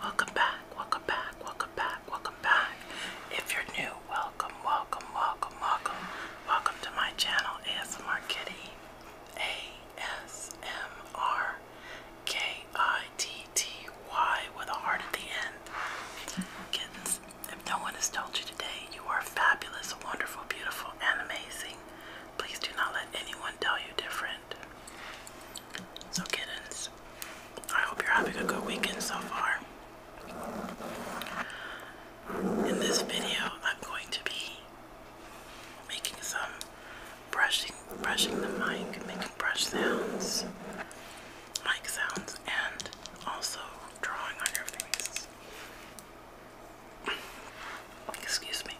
Welcome back, welcome back, welcome back, welcome back. If you're new, welcome, welcome, welcome, welcome. Welcome to my channel, ASMR Kitty. ASMR K I T T Y with a heart at the end. Kittens if no one has told you today, you are fabulous, wonderful, beautiful, and amazing. Please do not let anyone tell you different. So, kittens, I hope you're having a good weekend so far. In this video, I'm going to be making some brushing, brushing the mic, making brush sounds, mic sounds, and also drawing on your face. Excuse me.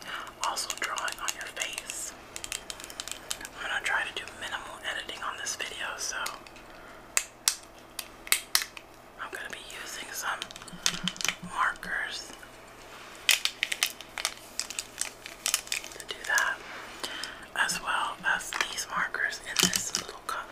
Also drawing on your face. I'm gonna try to do minimal editing on this video, so I'm gonna be using some markers to do that, as well as these markers in this little cup.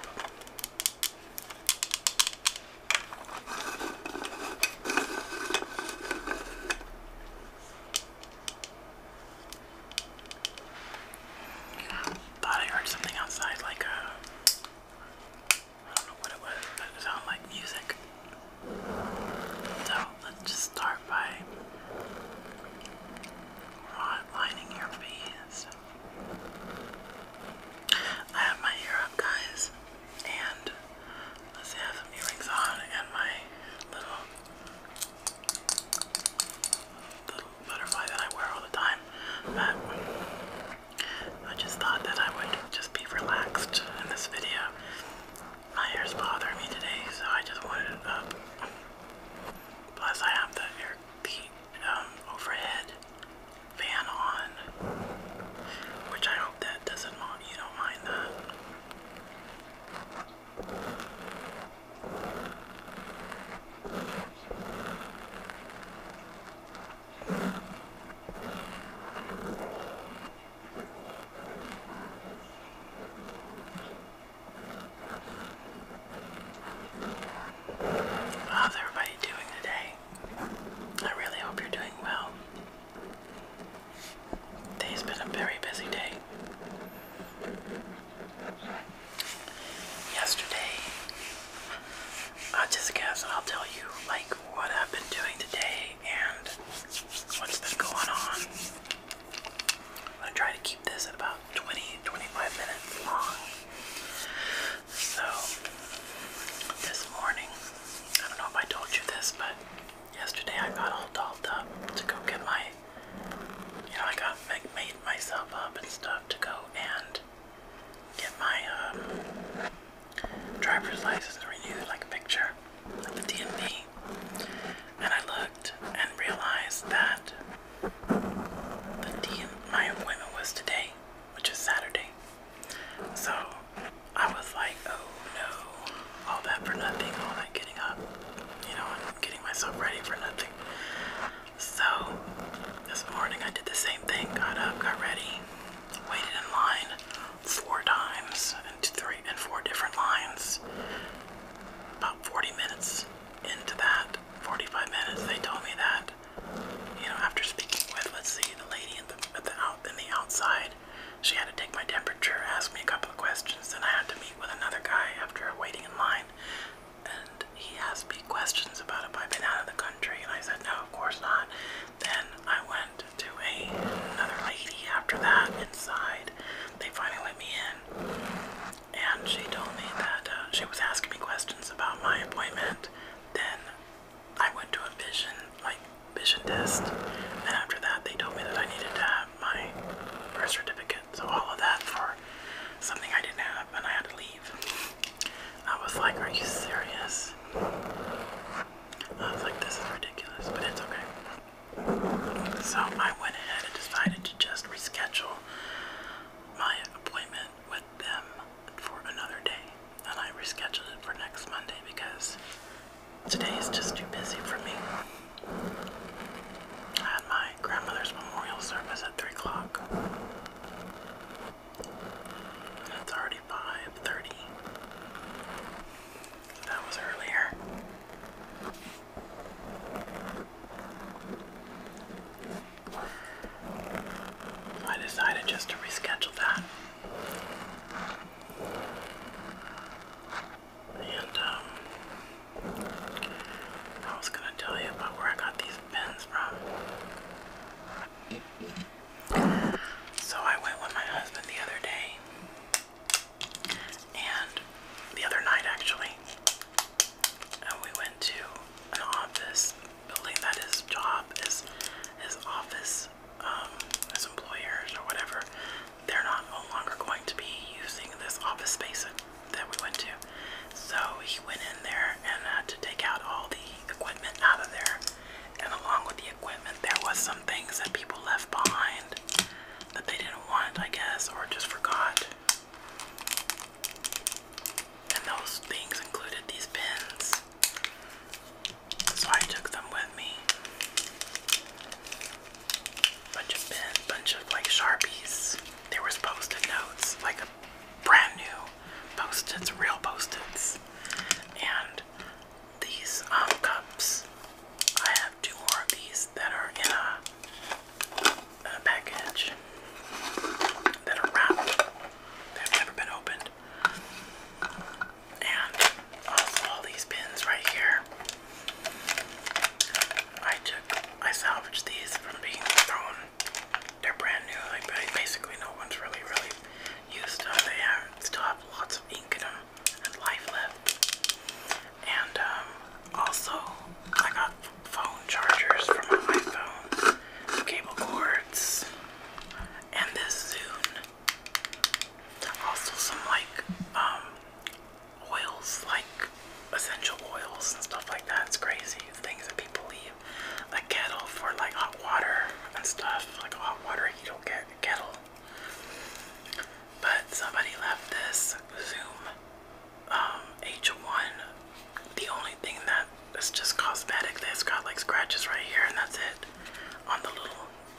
Thought I heard something outside, like a. Uh, I don't know what it was, but it sounded like music. So let's just start by lining your feet. I have my hair up, guys, and let's have some earrings on and my little, butterfly that I wear all the time. But I just thought that I would just be relaxed in this video. My hair's bothering me today, so I just wanted it up. Plus, I have the the um, overhead fan on, which I hope that doesn't You don't mind that. How's everybody doing today? I really hope you're doing well. Today's been a very busy day. Yesterday, I just guess I'll tell you like what I've been doing today and what's been going on. I'm gonna try to this is about 20 25 minutes long. So, this morning, I don't know if I told you this, but yesterday I got all dolled up to go get my, you know, I got made myself up and stuff to go and get my um, driver's license renewed, like a picture at the DMV. And I look and realized that the day my appointment was today, which is Saturday. So I was like, oh no, all that for nothing, all that getting up, you know, and getting myself ready for nothing. So this morning I did the same thing, got up, got ready, waited in line four times and three and four different lines. About 40 minutes into that, 45 minutes. They told me that, you know, after speaking with, let's see, the lady in the, at the out in the outside, she had to take my temperature, ask me a couple of questions, then I had to meet with another guy after waiting in line, and he asked me questions about if I've been out of the country, and I said no, of course not. Then I went to a, another lady after that inside. They finally let me in and she told me that uh, she was asking me questions about my appointment. Then I went to a vision, like vision test, and after that they told me that I needed to have my birth certificate. So all of that for something I didn't have, and I had to leave. I was like, "Are you serious?" I was like, "This is ridiculous," but it's okay. So I went ahead and decided to just reschedule my appointment with them for another day, and I rescheduled it for next Monday because today is just too busy for me. I had my grandmother's memorial service at 3 o'clock, it's already 5.30. That was earlier. I decided just to reschedule that. And, um, I was gonna tell you about where I got these pens from. So I went with my husband the other day, and the other night actually, and we went to an office building that his job is his office um, his employers or whatever they're not no longer going to be using this office space that we went to so he went in there and had to take out all the equipment out of there and along with the equipment there was some things that people left behind that they didn't want I guess or just forgot and those things included these pins. So I took them with me. Bunch of pins, bunch of like Sharpies. There was post-it notes, like brand new post-its, real post-its. And these um, cups. I two more of these that are in a, package that are wrapped. They've never been opened. And also all these pins right here. I took, I salvaged these from being thrown. They're brand new. Like basically, no one's really, really used them. They still have lots of ink in them and life left. And um, also, I got phone chargers for my iPhone, cable cords, and this Zune. Also, some like um, oils, like essential oils and stuff like that. It's crazy. things that people leave like kettle for, like hot water and stuff, like a hot water you don't heater kettle. But somebody left this Zoom um, H1. The only thing that is just cosmetic that's got like scratches right here, and that's it on the little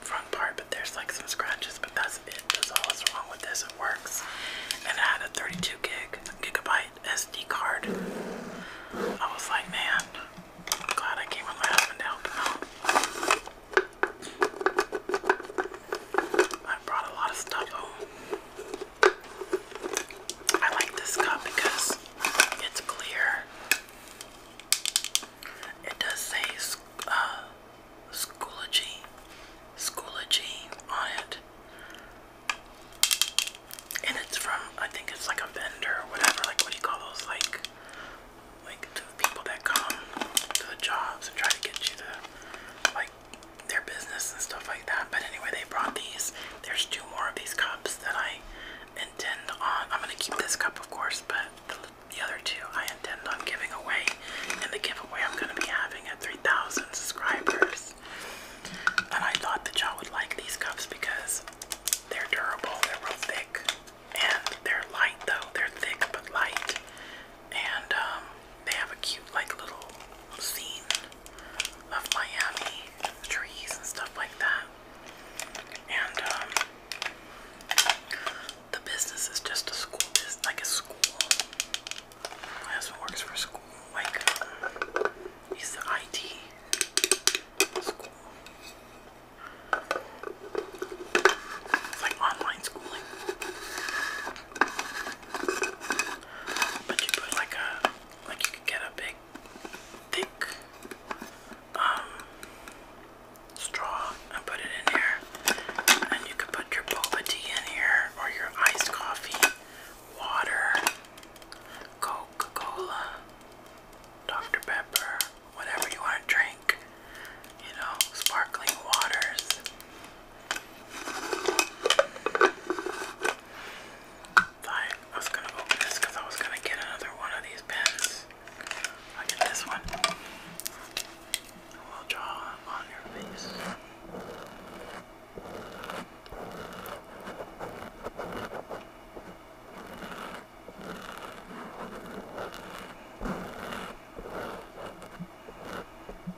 front part. But there's like some scratches, but that's it. There's all that's wrong with this. It works, and it had a 32 gig gigabyte SD card. I was like, man, I'm glad I came with my husband to help him out. I brought a lot of stuff home. I like this cup because it's clear. It does say uh, Schoology, Schoology on it. And it's from, I think it's like a vendor or whatever. Like, what do you call those? Like, like people that come to the jobs and try to get you to, like, their business and stuff like that. But anyway, they brought these. There's two more of these cups that I intend on. I'm gonna keep this cup, of course, but the, other two I intend on giving away. And the giveaway I'm gonna be having at 3,000 subscribers. And I thought that y'all would like these cups because they're durable, they're real thick, and they're light though. They're thick but light. And um, they have a cute like little scene of Miami trees and stuff like that. And um, the business is just a school business, like a school. My husband works for school, like um, he's the IT school. It's like online schooling. But you put like a like you could get a big thick um straw and put it in here. And you could put your boba tea in here or your iced coffee, water, Coca-Cola, Dr. Pepper, whatever you want to drink you know, sparkling waters. I was gonna open this because I was gonna get another one of these pens. i get this one. We'll draw on your face. I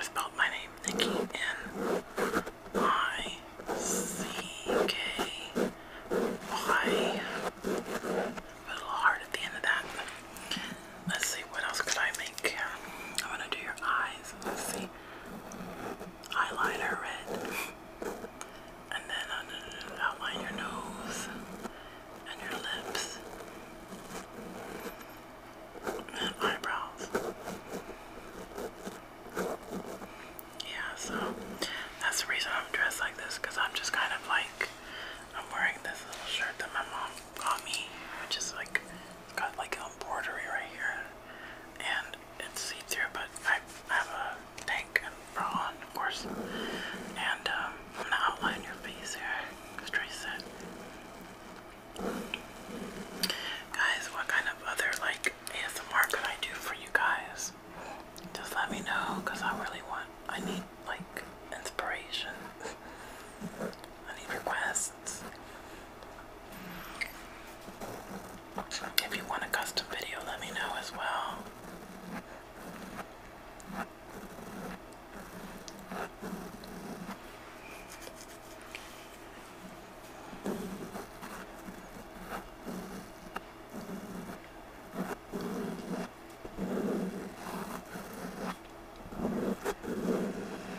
spelled my name Nikki N I C K Y. Put a little heart at the end of that. Let's see, what else could I make? I want to do your eyes. Let's see. Eyeliner red. And then uh, outline your nose and your lips. And eyebrows. Yeah, so that's the reason I'm dressed like this I'm just kind of like, I'm wearing this little shirt that my mom got me, which is like got like embroidery right here, and it's see-through, but I have a tank and bra on, of course, and um, I'm gonna outline your face here, just trace it. Guys, what kind of other like ASMR could I do for you guys? Just let me know, cause I really want, I need like inspiration any requests. If you want a custom video, let me know as well.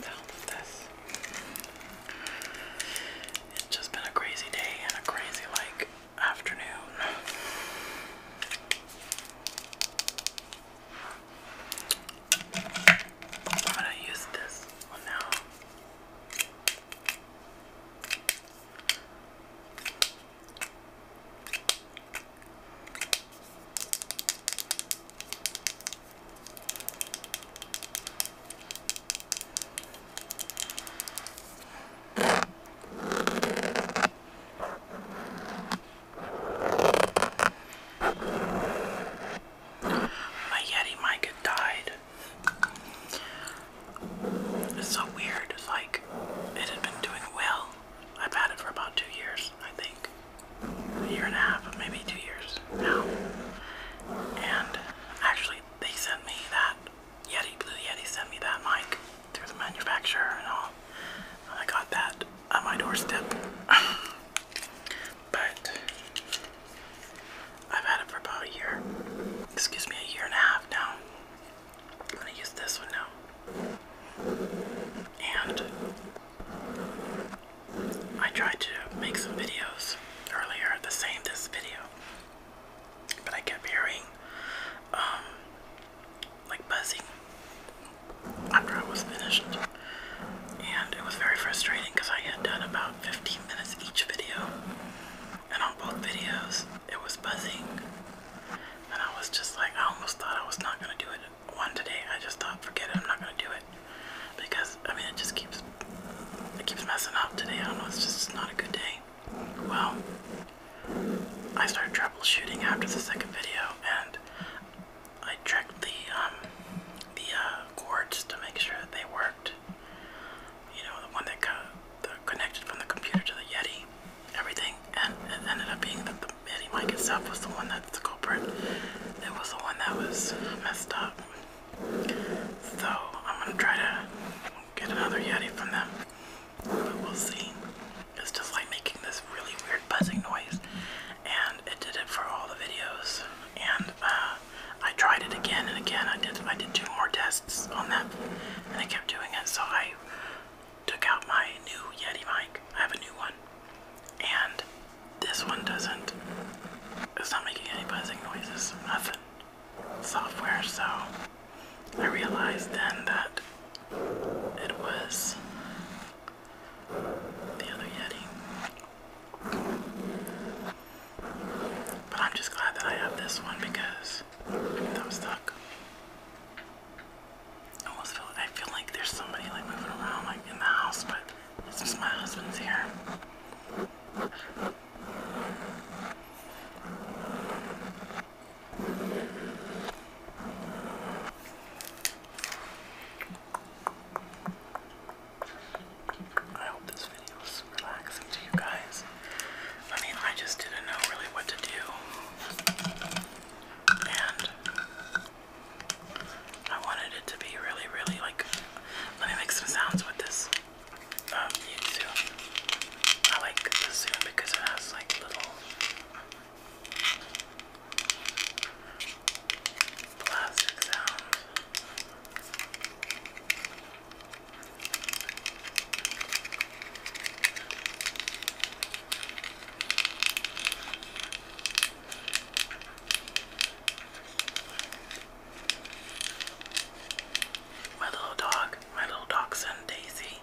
the help this. It's just been a crazy day and a crazy like afternoon. I'm gonna use this one now. My Yeti mic had died. It's so weird. It's like it had been doing well. I've had it for about two years, I think a year and a half, maybe two years now. And actually, they sent me that Yeti, Blue Yeti sent me that mic through the manufacturer and all. I got that at my doorstep. but I've had it for about a year. Excuse me, a year and a half now. I'm gonna use this one now. And I tried to make some videos earlier the same this video, but I kept hearing um, like buzzing after I was finished, and it was very frustrating because I had done about 15 minutes each video, and on both videos it was buzzing, and I was just like I almost thought I was not gonna do it one today. I just thought, forget it. I'm not gonna do it because I mean it just keeps it keeps messing up today. I don't know. It's just not a good day. Well, I started troubleshooting after the second video, and I checked the um, the uh, cords to make sure that they worked. You know, the one that connected from the computer to the Yeti, everything, and it ended up being the, the Betty Mike itself was the one that's the culprit. It was the one that was messed up. So I'm gonna try to get another Yeti from them. But we'll see. It's just like making this really weird buzzing noise. And it did it for all the videos. And uh, I tried it again and again. I did I did two more tests on that and I kept doing it so I took out my new Yeti mic. I have a new one. And this one doesn't, it's not making any buzzing noises, nothing. Software, so I realized then that it was the other Yeti. But I'm just glad that I have this one because if i stuck, I almost feel I feel like there's somebody like moving around like in the house, but it's just my husband's here. I hope this video was relaxing to you guys. I mean, I just didn't know really what to do. And I wanted it to be really, really like. Let me make some sounds with this um, yuzu. I like the zoom because it has like little plastic sound. My little dog, my little dachshund Daisy,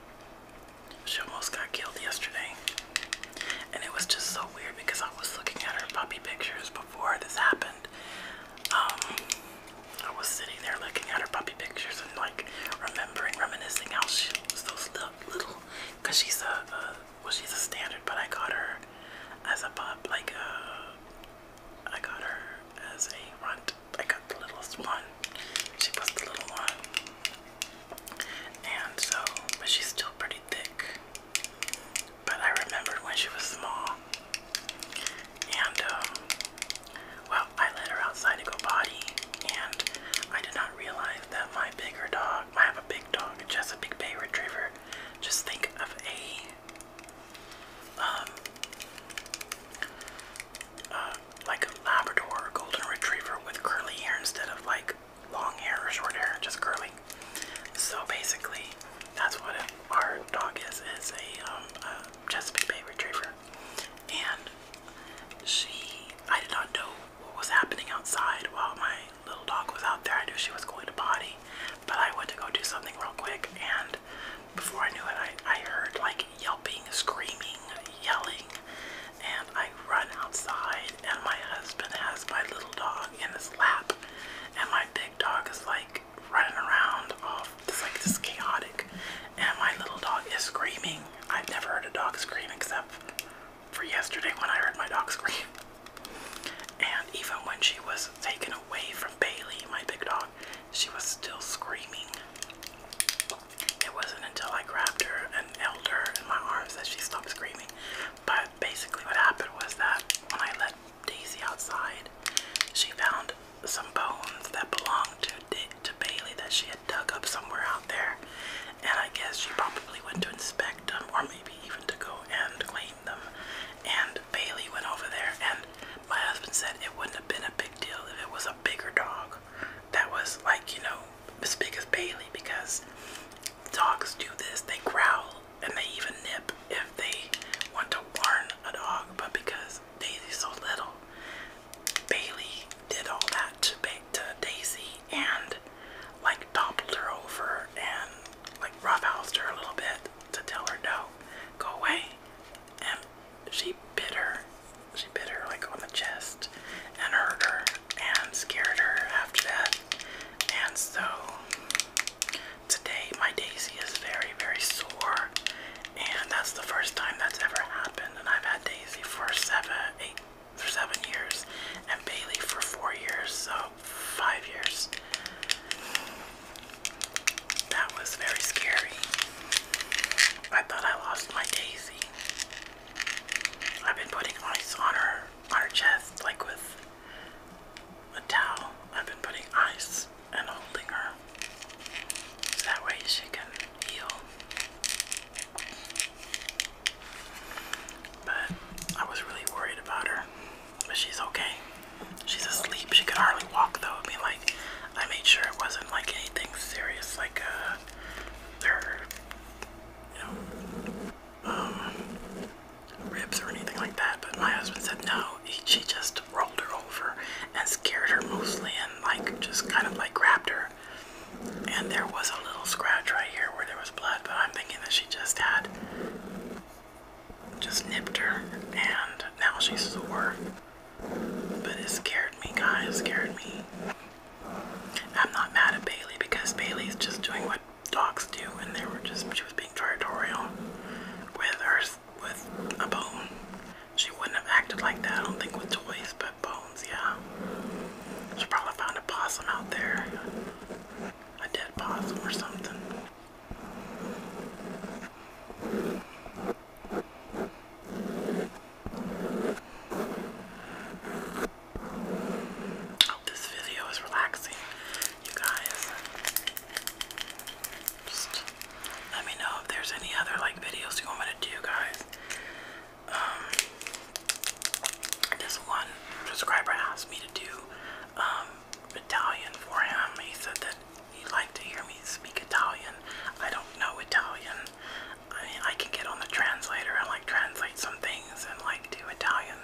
she almost got killed yesterday. And it was just so weird because I was looking at her puppy pictures before this happened. Um, I was sitting there looking at her puppy pictures and like remembering, reminiscing how she was those a cause she's a, well, she's a standard, but I got her as a pup, like uh, I got her as a runt. I got the littlest one. She was the little one, and so, but she's still pretty thick. But I remembered when she was small, and um, well, I let her outside to go potty, and I did not realize that my bigger dog, I have a big dog, It's just a big Bay Retriever. Just think of a, um, uh, like a Labrador or a Golden Retriever with curly hair instead of like long hair or short hair, just curly. So basically, that's what our dog is, is a, um, a Chesapeake Bay Retriever. And she, I did not know what was happening outside while my little dog was out there. I knew she was going to potty, but I went to go do something real quick, and before I knew it, I, I heard like yelping, screaming, yelling, and I run outside, and my husband has my little dog in his lap, and my big dog is like running around off, just like this chaotic, and my little dog is screaming. I've never heard a dog scream except for yesterday when I heard my dog scream. And even when she was taken away from Bailey, my big dog, she was still screaming. It wasn't until I grabbed her and held her in my arms that she stopped screaming. But basically, what happened was that when I let Daisy outside, she found some bones that belonged to, to Bailey that she had dug up somewhere out there, and I guess she probably went to inspect them or maybe even to go and clean them. And Bailey went over there, and my husband said it wouldn't have been a big deal if it was a bigger dog that was like, you know, as big as Bailey because dogs do this, they growl and they even nip if they want to warn a dog, but because Daisy's so little, Bailey did all that to, Daisy and like toppled her over and like roughhoused her a little bit to tell her no, go away. And she bit her. She bit her like on the chest and hurt her and scared her after that. And so today my Daisy is very, very sore. And that's the first time that's ever happened. And I've had Daisy for seven, eight for seven years and Bailey for four years, so five years. That was very scary. I thought I lost my Daisy. I've been putting ice on her on her chest like with a towel. I've been putting ice and holding her. that way she can heal. But I was really worried about her. But she's okay. She's asleep. She can hardly walk though. I mean, like, I made sure it wasn't like anything serious, like uh, you know, um, ribs or anything like that. But my husband said no. she just rolled her over and scared her mostly, and like just kind of like grabbed her and there was a little scratch right here where there was blood, but I'm thinking that she just had just nipped her and now she's sore. But it scared me, guys, scared me. I'm not mad at Bailey because Bailey's just doing what dogs do and they were just she was being territorial with her with a bone. She wouldn't have acted like that, I don't think, with toys, but bones, yeah. She probably found a possum out there. A dead possum or something. hope this video is relaxing, you guys. Just let me know if there's any other like videos you want me to do, guys. Um, this one subscriber asked me to do um, Italian for him. He said that he'd to hear me speak Italian. I don't know Italian. I mean, I can get on the translator and like translate some things and like do Italian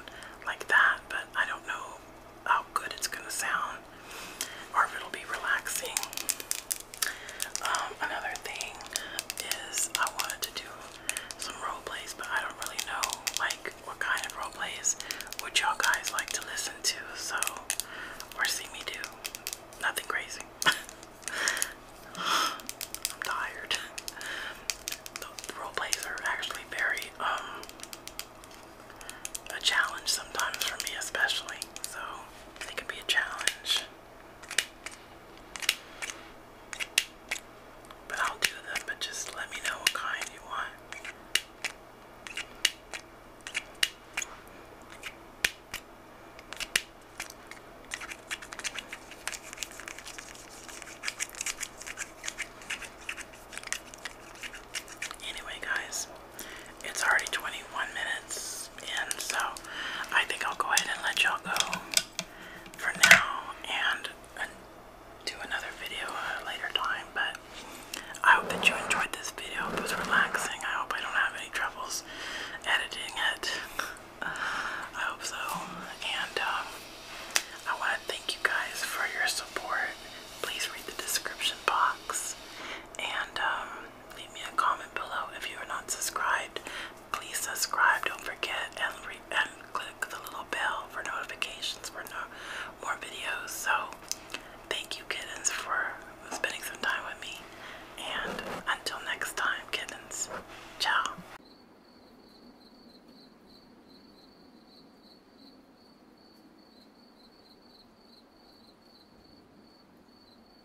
like that, but I don't know how good it's gonna sound or if it'll be relaxing. Um, another thing is I wanted to do some role plays, but I don't really know like what kind of role plays would y'all guys like to listen to, so or see me do. Nothing crazy. I'm tired. The role plays are actually very um a challenge sometimes for me especially. So it can be a challenge. But I'll do them, but just let me know what kind you want. Anyway, guys, it's already 21 minutes. And so I think I'll go ahead and let y'all go for now and uh, do another video later time. But I hope that you enjoyed this video. It was relaxing. I hope I don't have any troubles editing it. I hope so. And uh, I want to thank you guys for your support. Please read the description box. And um, Leave me a comment below. If you are not subscribed, please subscribe. Don't forget and, click the little bell for notifications for more videos. So thank you kittens for spending some time with me. And until next time, kittens. Ciao.